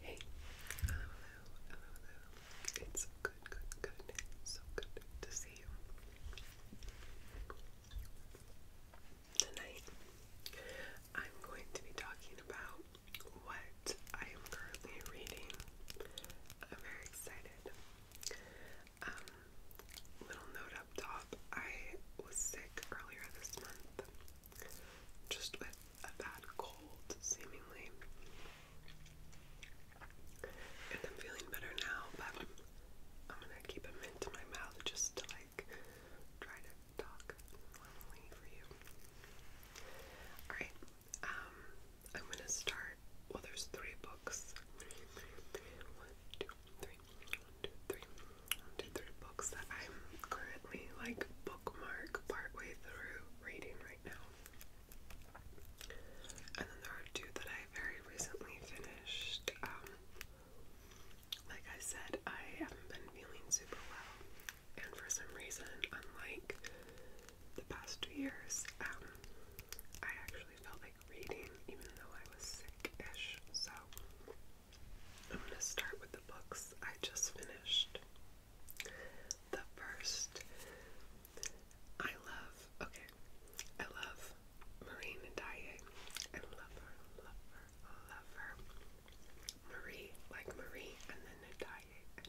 Hey, hello, hello, hello, hello. It's good, good, good. So good to see you. Tonight, I'm going to be talking about what I am currently reading. I'm very excited. Um, little note up top, I was sick earlier this month, just with a bad cold, seemingly. And I'm feeling better now, but I'm gonna keep them into my mouth just to like try to talk normally for you. Alright, um, I'm gonna start. Well, there's three books. Three, three, three, one, two, three, one, two, three, one, two, three books that I'm currently like bookmark partway through reading right now. And then there are two that I very recently finished. Um, like I said, I haven't been feeling super well, and for some reason, unlike the past two years, um, I actually felt like reading even though I was sick-ish. So I'm gonna start with the books I just finished. The first, I love, okay, I love Marine Dye. I love her, love her, love her. Marie, like Marie, and then Natalia. And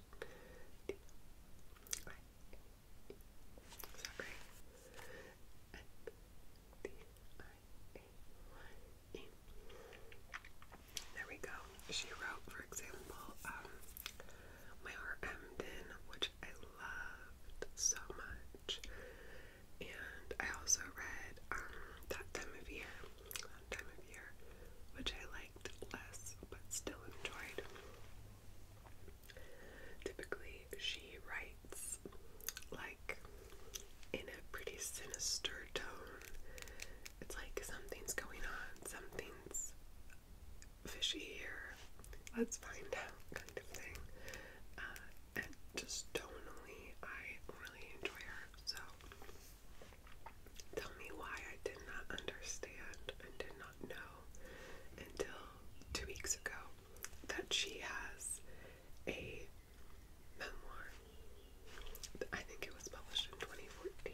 there we go. She wrote, for example, um, My Heart Hemmed which I loved so much. And I also read um, That Time of Year, That Time of Year, which I liked less but still enjoyed. Typically, she writes like in a pretty sinister it's like something's going on, something's fishy here. Let's find out, kind of thing. Uh, and just tonally, I really enjoy her. So tell me why I did not understand and did not know until two weeks ago that she has a memoir I think it was published in 2014.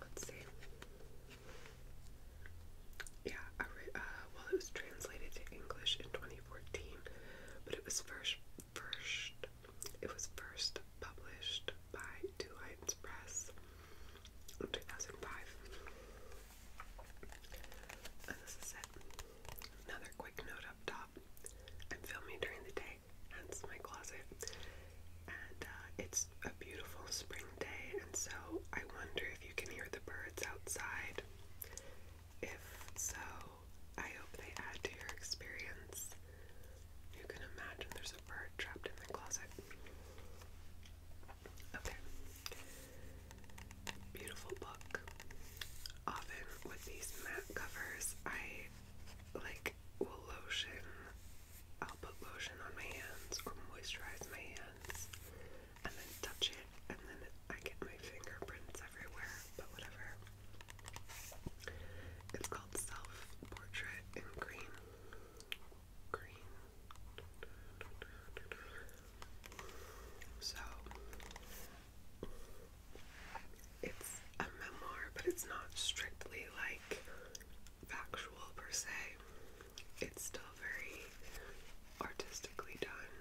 Let's see. Yeah, uh, well, it was translated to English in 2014, but it was first first it was first published by Two Lights Press in 2005. And this is it. Another quick note up top. I'm filming during the day hence my closet. And uh, it's a beautiful spring day, and so I wonder if you can hear the birds outside. If so, I hope they add to your experience. You can imagine there's a bird trapped in the closet. Okay. Beautiful book. Often with these matte covers, I like lotion. I'll put lotion on my hands or moisturize my hands and then touch it and then I get my fingerprints everywhere, but whatever. It's called Self Portrait in Green. Green. So it's a memoir, but it's not strictly like factual per se. It's still very artistically done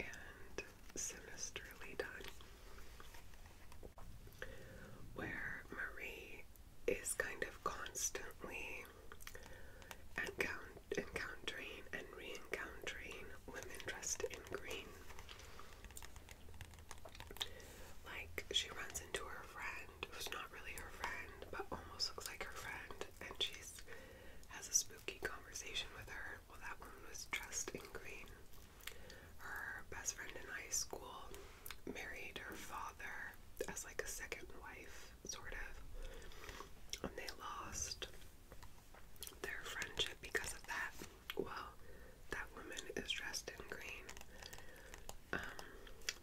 and sinisterly done. Where Marie is kind of constantly encountering and re encountering women dressed in green. Like, she runs into her friend, who's not really her friend, but almost looks like her friend, and she's has a spooky conversation with her. Well, that one was dressed in green. Her best friend in high school married her father as like a second wife, sort of, and they lost their friendship because of that well, that woman is dressed in green, um,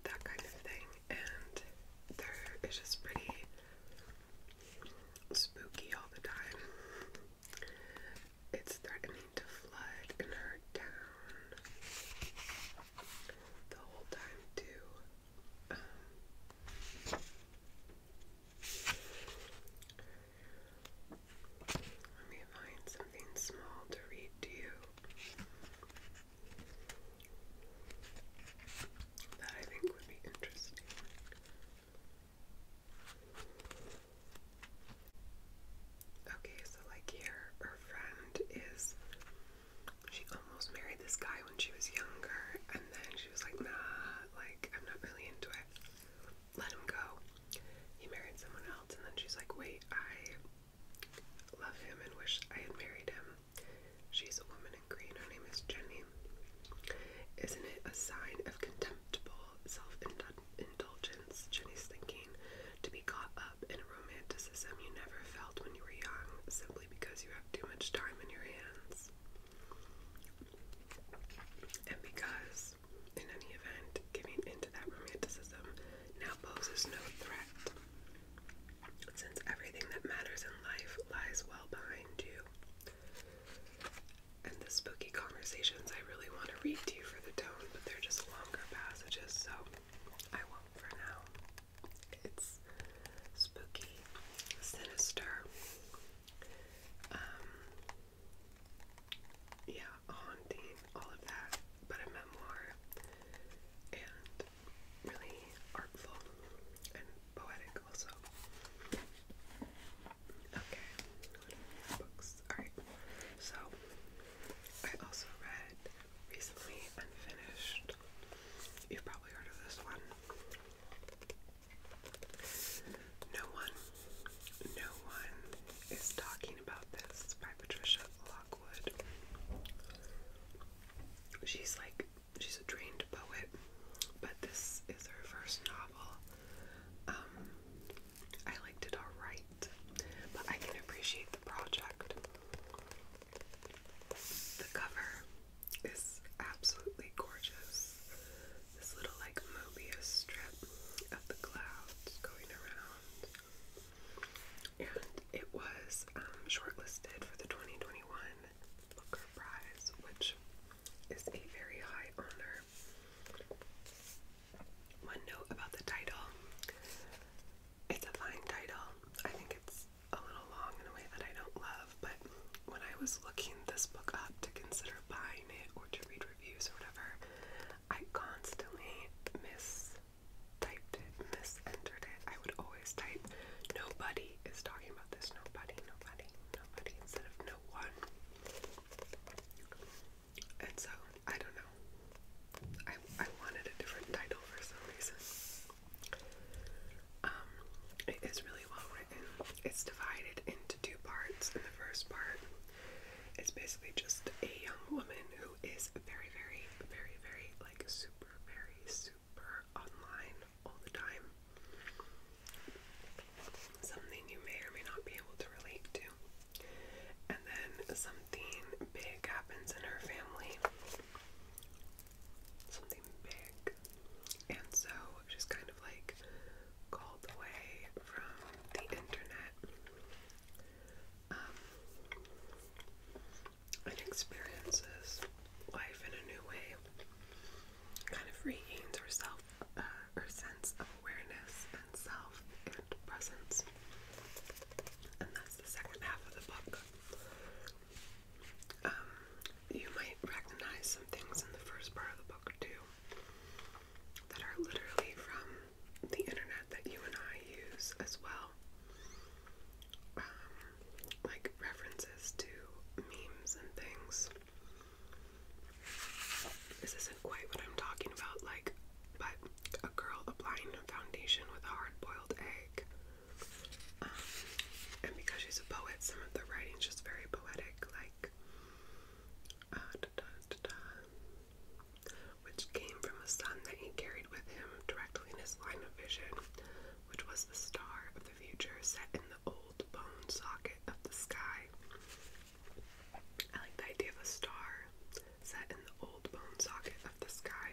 that kind of thing, and they it's just pretty spooky all the time. It's threatening to flood and hurt down the whole time too. Um, let me find something small to read to you that I think would be interesting. Okay, so like here, her friend is. She almost married this guy when she was younger, and then she was like, nah, like, I'm not really into it. Let him go he married someone else, and then she's like, wait, I love him and wish I had married him. She's a woman in green. Her name is Jenny. Isn't it a sign of contemptible self-indulgence? Jenny's thinking to be caught up in a romanticism you never felt when you were young, simply because you have too much time in your hands, and because is. In any event, giving into that romanticism now poses no threat, since everything that matters in life lies well behind you. And the spooky conversations I really want to read to you for the tone, but they're just longer passages, so I won't for now. It's spooky, sinister, um, yeah, haunting, all of that, but a memoir and really artful and poetic also. Okay, books. Alright, so I also read recently Unfinished. You've probably heard of this one. No one, no one is talking about this by Patricia She's like, she's a trained poet, but this is her first novel. Um, I liked it alright, but I can appreciate the project. The cover is absolutely gorgeous. This little, like, Mobius strip of the clouds going around and it was um, shortlisted for the 2021 Booker Prize, which is a very high honor. One note about the title it's a fine title. I think it's a little long in a way that I don't love, but when I was looking this book up to consider buying it or to read reviews or whatever, I constantly miss typed it, misentered it. I would always type nobody is talking about this, nobody, nobody, nobody, instead of no one. And so, I don't know. I, I wanted a different title for some reason. Um, it is really well written. It's divided into two parts. In the first part, it's basically just a young woman who is is very, very, very, very, like, super, very, super online all the time. Something you may or may not be able to relate to. And then something big happens in her family. Something big. And so she's kind of like called away from the internet um, and experiences life in a new way. Kind of regains herself, uh, her sense of awareness and self and presence. And that's the second half of the book. Um, you might recognize some things in the first part of the book too that are literally from the internet that you and I use as well. Um, like references to memes and things. This isn't quite what I'm talking about, like, but a girl applying foundation with a hard boiled egg. Um, and because she's a poet, some of the writing's just very poetic, like, uh, which came from a sun that he carried with him directly in his line of vision, which was the star of the future set in the old bone socket of the sky. I like the idea of a star set in the old bone socket of the sky.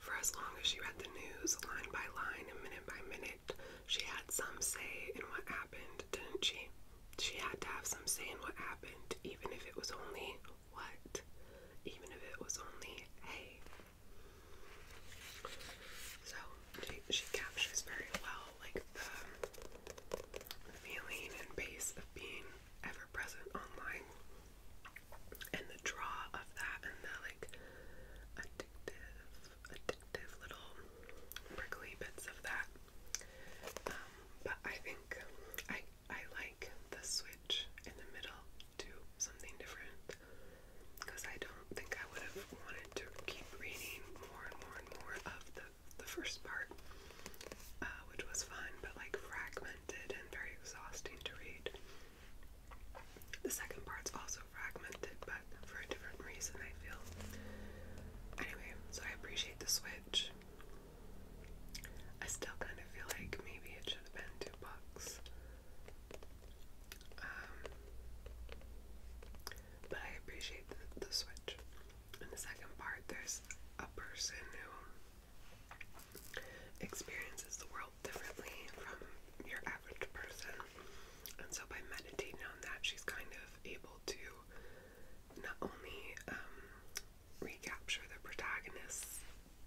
For as long as she read the news, line by line and minute by minute, she had some say in what happened didn't she? She had to have some say in what happened, even if it was only what? Even if it was only a. So she, she captures very well, like the feeling and pace of being ever present online, and the draw of that, and the like addictive addictive little prickly bits of that. Um, but I think I I like the switch in the middle to something different because I don't think I would have wanted to keep reading more and more and more of the the first part, uh, which was fun but like fragmented and very exhausting to read. The second part's also fragmented, but for a different reason, I feel. Anyway, so I appreciate the Switch. I still kind of feel like maybe it should have been two bucks. Um, but I appreciate the Switch. In the second part, there's a person who experiences the world differently from your average person. And so by meditating on that, she's kind of able to not only um, recapture the protagonist's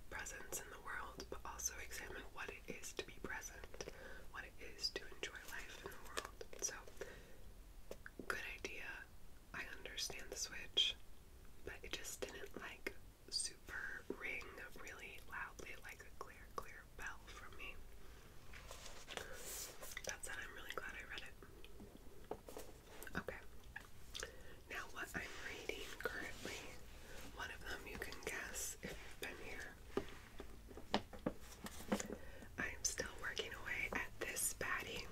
presence in the world, but also examine what it is to be present, what it is to enjoy life in the world. So, good idea. I understand the switch, but it just didn't like super ring really loudly like a clear, clear bell for me. That said, I'm really glad I read it. Okay. Now, what I'm reading currently, one of them you can guess if you've been here. I'm still working away at this baddie.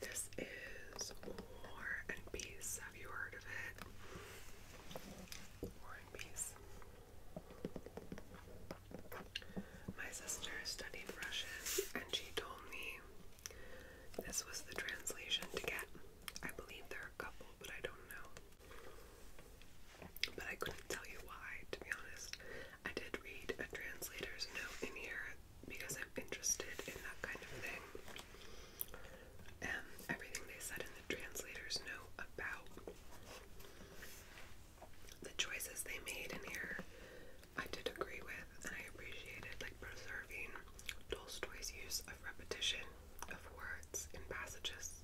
This is War and Peace. Have you heard of it? War and Peace. My sister studied Russian and she told me this was the translation to get. I believe there are a couple, but I don't know. But I couldn't tell you why, to be honest. I did read a translator's note in here because I'm interested in that kind of thing. And everything they said in the translator's note about the choices they made in here I did agree with and I appreciated like preserving Tolstoy's use of repetition of words in passages.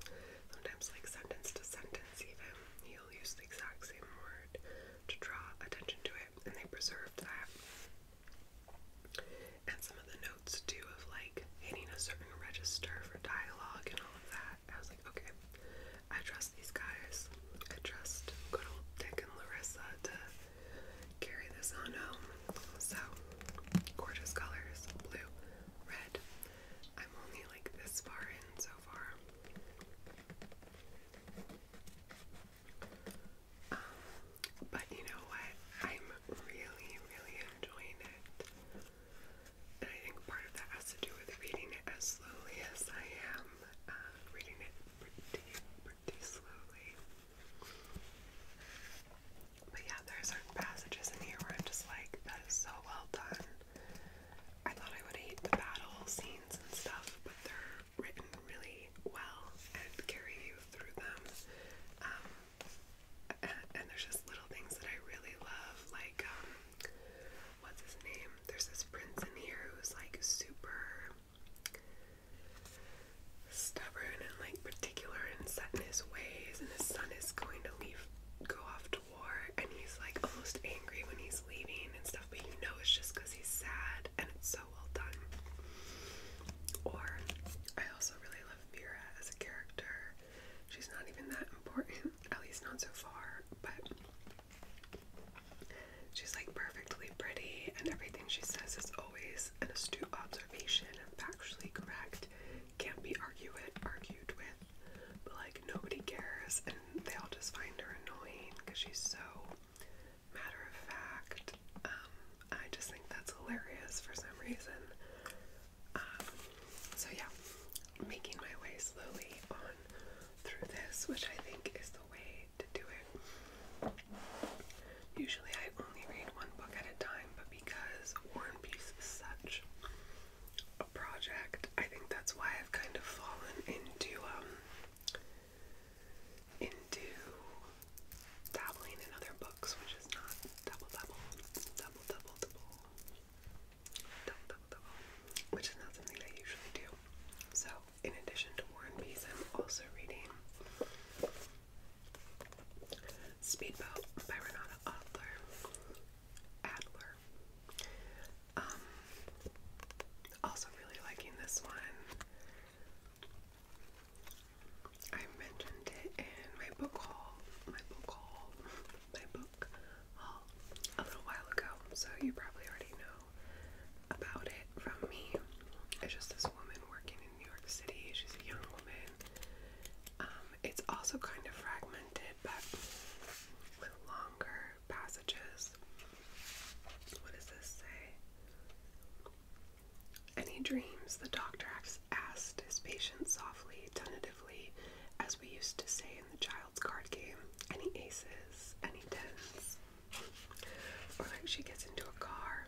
Sometimes like sentence to sentence even. He'll use the exact same word to draw attention to it and they preserved that. And some of the notes too of like hitting a certain register for dialogue and all of that. I was like, okay, I trust these guys. I trust good old Dick and Larissa to carry this on home. So, gorgeous colors blue, red. I'm only like this far in so far. Um, but you know what? I'm really, really enjoying it. And I think part of that has to do with reading it as slowly as I am, uh, reading it pretty, pretty slowly. But yeah, there are certain passages in here where I'm just like, that is so well done. I thought I would hate the battle scenes and stuff, but they're written really well and carry you through them. Um, and, and there's just little things that I really love, like um, what's his name? There's this prince in here who's like super stubborn and like particular and set in his ways, and his son is going to leave, go off to war, and he's like almost angry when he's leaving and stuff, but you know it's just because he's sad, and it's so well done. Or I also really love Vera as a character she's not even that important, at least not so far, but she's like perfectly pretty, and everything she says is always an astute observation and factually correct, can't be argued argued with, but like nobody cares, and they all just find her annoying because she's so matter of fact. Um, I just think that's hilarious for some reason. Um, so yeah, making my way slowly on through this, which I think is the way to do it. Usually I only read one book at a time, but because War and Peace is such a project, I think that's why I've kind of fallen into um into dabbling in other books, which is not double double double double double which is not something I usually do. So, in addition to War and Peace, I'm also reading Speedboat by Renata Adler. Adler. Um, also really liking this one. I mentioned it in my book haul, my book haul, my book haul uh, a little while ago, so you probably already know about it from me. It's just this woman working in New York City. She's a young woman. Um, it's also kind of fragmented, but with longer passages. What does this say? Any dreams? The doctor asked his patient softly, tentatively, as we used to say in the child child's card game. Any aces, any tens. Or like she gets into a car,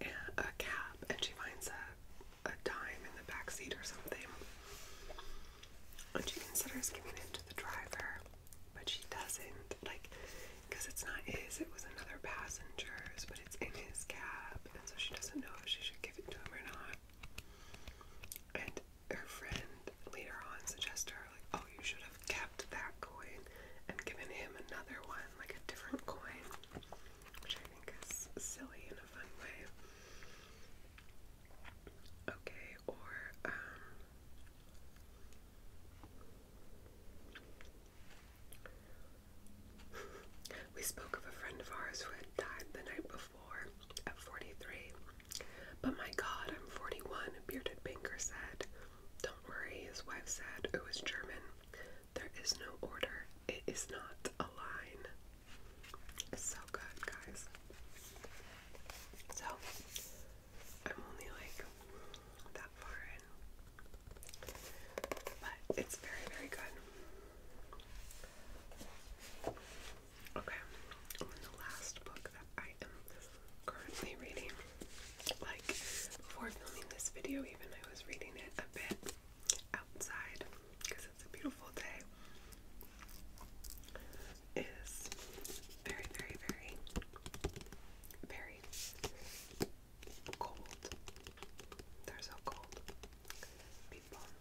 and a cab, and she finds a, a dime in the back seat or something. And she considers giving it to the driver, but she doesn't. Like, because it's not his, it was another passenger's, but it's in his cab, and so she doesn't know if she should give it to him or not. And her friend later on suggests her, like, oh, you should have kept that coin and given him another one, like a different coin, which I think is silly in a fun way. Okay, or, um, we spoke of a friend of ours who had died the night before at 43. But my god, I'm 41, Bearded Banker said. Don't worry, his wife said, who is German. There is no order. It is not a line. so good, guys. So, I'm only like that far But it's very, very good. Okay, and then the last book that I am currently reading, like before filming this video, even I was reading it a bit outside because it's a beautiful day, is very, very, very, very cold. They're so cold.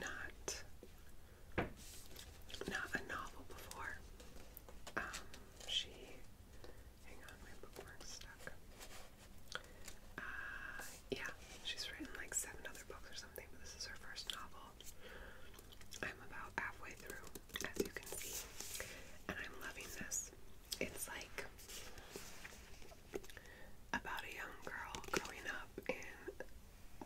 not not a novel before. Um, she hang on, my bookmark's stuck. Uh, yeah, she's written like seven other books or something, but this is her first novel. I'm about halfway through, as you can see, and I'm loving this. It's like about a young girl growing up in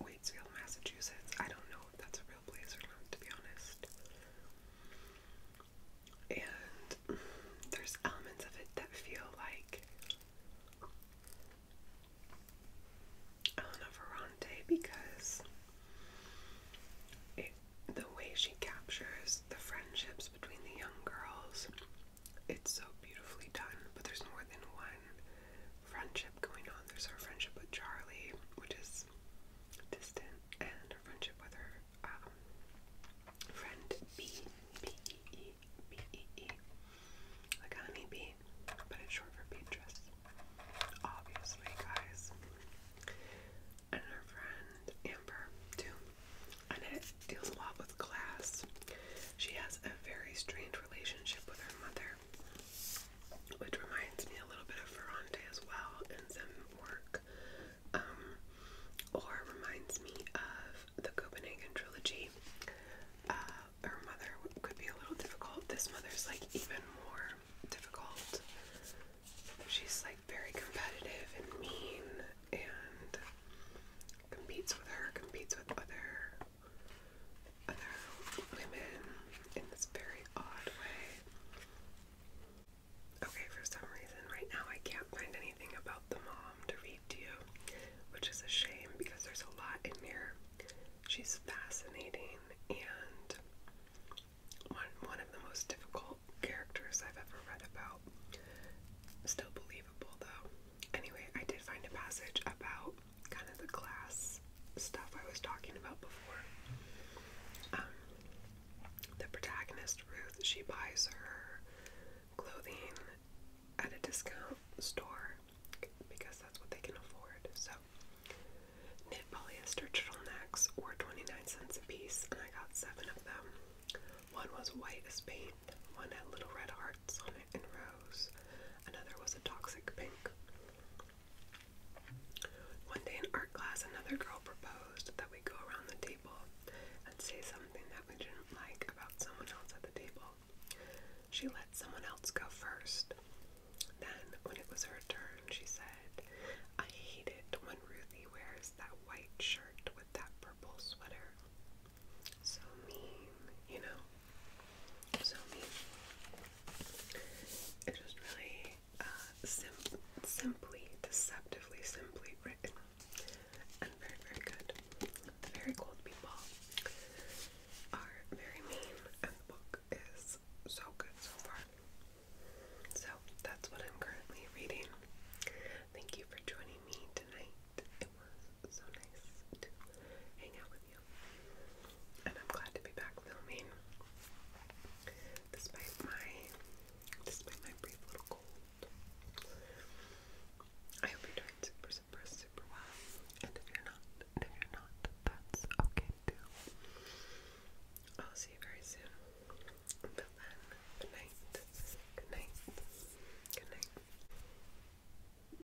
Waitsfield, Massachusetts. I don't know if that's a real place or not, to be honest. And there's elements of it that feel like Elena Ferrante because the way she captures the friendships between the young girls it's so beautifully done, but there's more than one friendship going on. There's her friendship with Charlie, which is distant, and her friendship with her um, friend B, B E E, B E E, like honeybee, but it's short for Beatrice. Obviously, guys. And her friend Amber, too. And it deals a lot with class. She has a very strange relationship with her mother, which reminds me a little bit of Ferrante as well in some work, um, or reminds me of the Copenhagen trilogy. Uh, her mother could be a little difficult. This mother's like even more difficult. She's like very competitive and mean and competes with her, competes with other other women in this very odd way. Okay, for some reason, right now I can't find anything about the mom to read to you, which is a shame because there's a lot in here. She's fascinating and one, one of the most difficult characters I've ever read about. Still believable, though. Anyway, I did find a passage about kind of the class stuff I was talking about before. Um, the protagonist, Ruth, she buys her clothing at a discount store because that's what they can afford. So, knit polyester turtlenecks were 29 cents a piece, and I got seven of them. One was white as paint, one had little red hearts on and rose, another was a toxic pink. One day in art class, another girl proposed that we go around the table and say something that we didn't like about someone else at the table. She let someone else go first. Then, when it was her turn, she said, I hate it when Ruthie wears that white shirt with that purple sweater. So mean, you know? So mean. It's just really uh, simply, deceptively simply written. And very, very good. The very cold people are very mean, and the book is so good so far. So that's what I'm currently reading. Thank you for joining me tonight it was so nice to hang out with you. And I'm glad to be back filming. Despite my despite my brief little cold. I hope you're doing super super super well. And if you're not, if you're not, that's okay too. I'll see you very soon. good night. Good night. Good night.